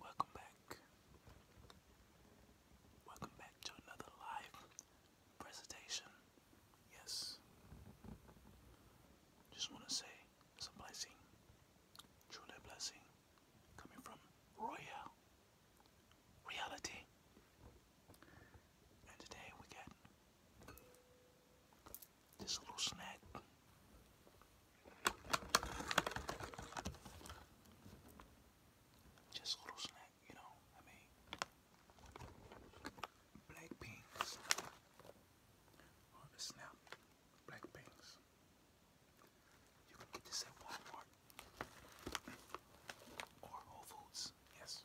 Welcome back. Welcome back to another live presentation. Yes. Just want to say it's blessing, truly blessing, coming from Royal Reality. And today we got this little snack. Just a little snack, you know. I mean, black pinks. Oh, the snap. Black pinks. You can get this at Walmart or Whole Foods. Yes.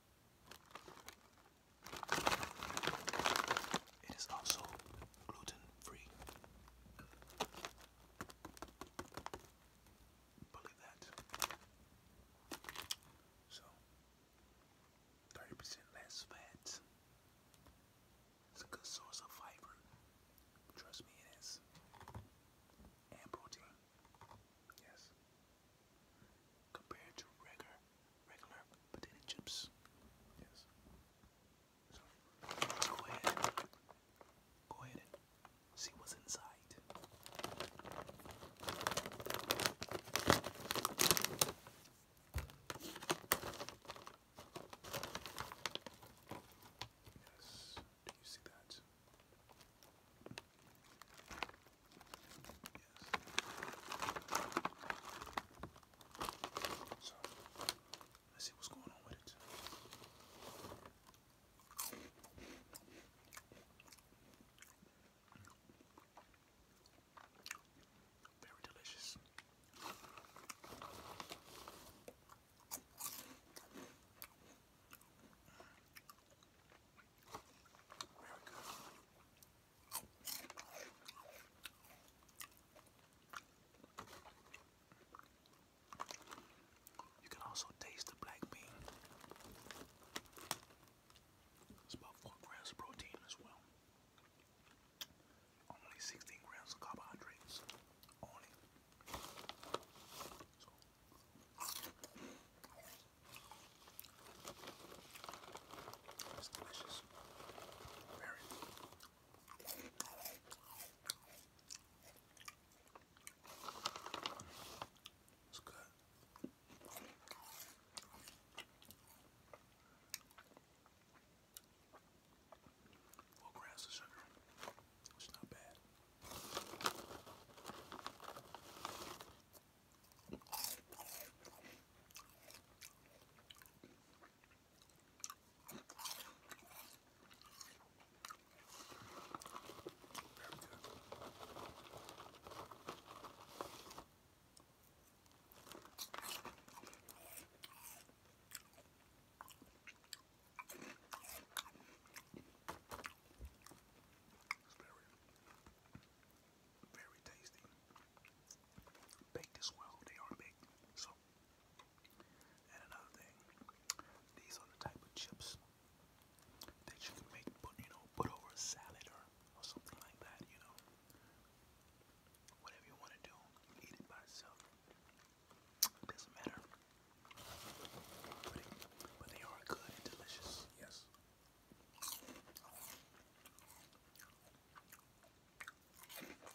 It is also gluten free. Believe that. So, 30% less fat. It's a good source of fiber. Trust me, it is. And protein. Yes. Compared to regular, regular potato chips. Yes. go ahead. Go ahead see what's inside. Yes. Do you see that? let's see what's going on with it. Very delicious. You can also taste the black bean. It's about 4 grams protein as well. Only 16 grams of carbohydrates. Only it's delicious. Very. It's good. Four grams of sugar, which is not bad. Very good. It's very, very tasty. Baked as well. They are baked. So, and another thing, these are the type of chips that you can make, you know, put over a salad or or something like that. You know, whatever you want to do, eat it by itself doesn't matter. But, but they are good and delicious. Yes. America.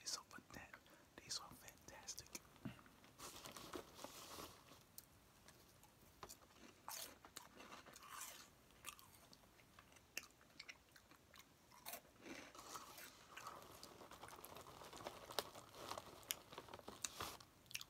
It's so fantastic. These are fantastic.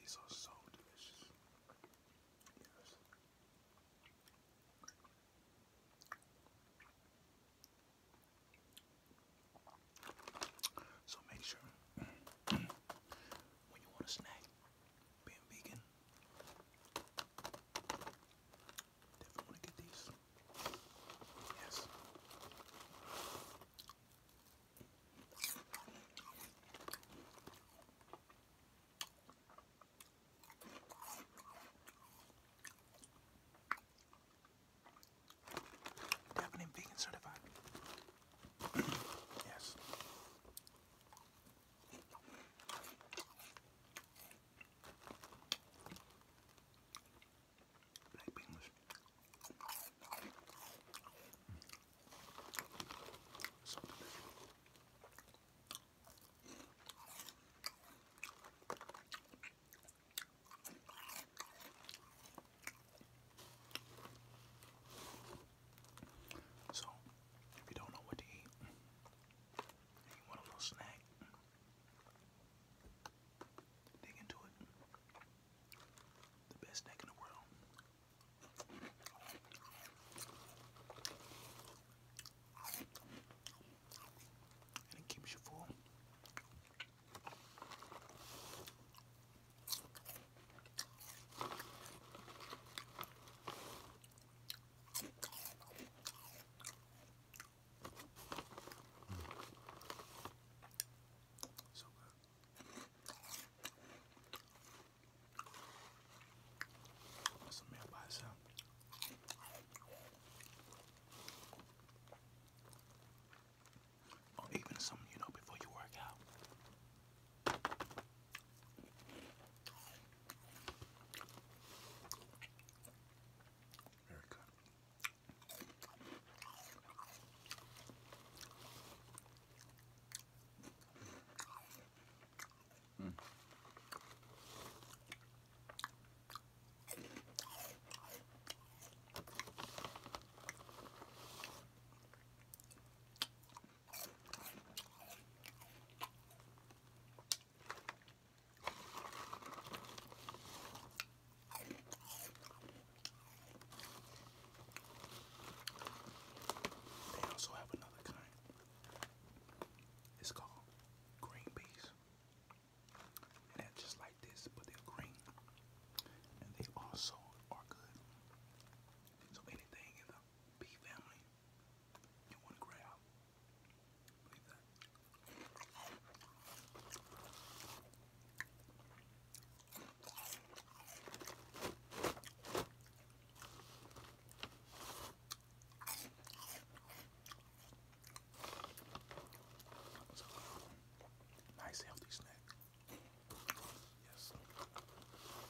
These are so delicious. Yes. So make sure when you want a snack, being vegan, definitely get these. Yes. Definitely vegan certified. yes. Black So if you don't know what to eat, you want a little snack, Dig into it. The best snack in the world. And it keeps you full. So good. That's meal by itself. Or even something you know before you work out. Very good. Mm. They also have another kind. It's called green peas. And they just like this, but they're green. And they also are good. So anything in the pea family you want to grab, Believe that. nice healthy snack. Yes.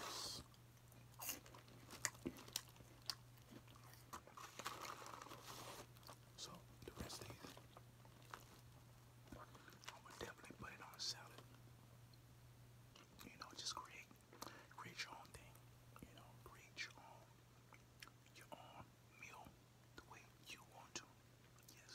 Yes. So the rest of these, I would definitely put it on a salad. You know, just create, create your own thing. You know, create your own, your own meal the way you want to. Yes.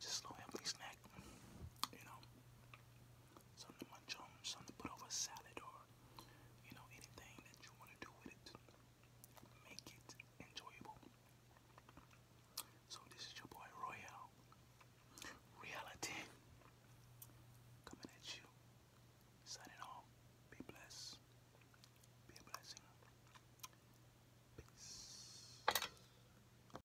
just a little snack, you know, something to munch on, something to put over salad or, you know, anything that you want to do with it, make it enjoyable. So this is your boy Royale, Reality, coming at you, signing off, be blessed, be a blessing. Peace.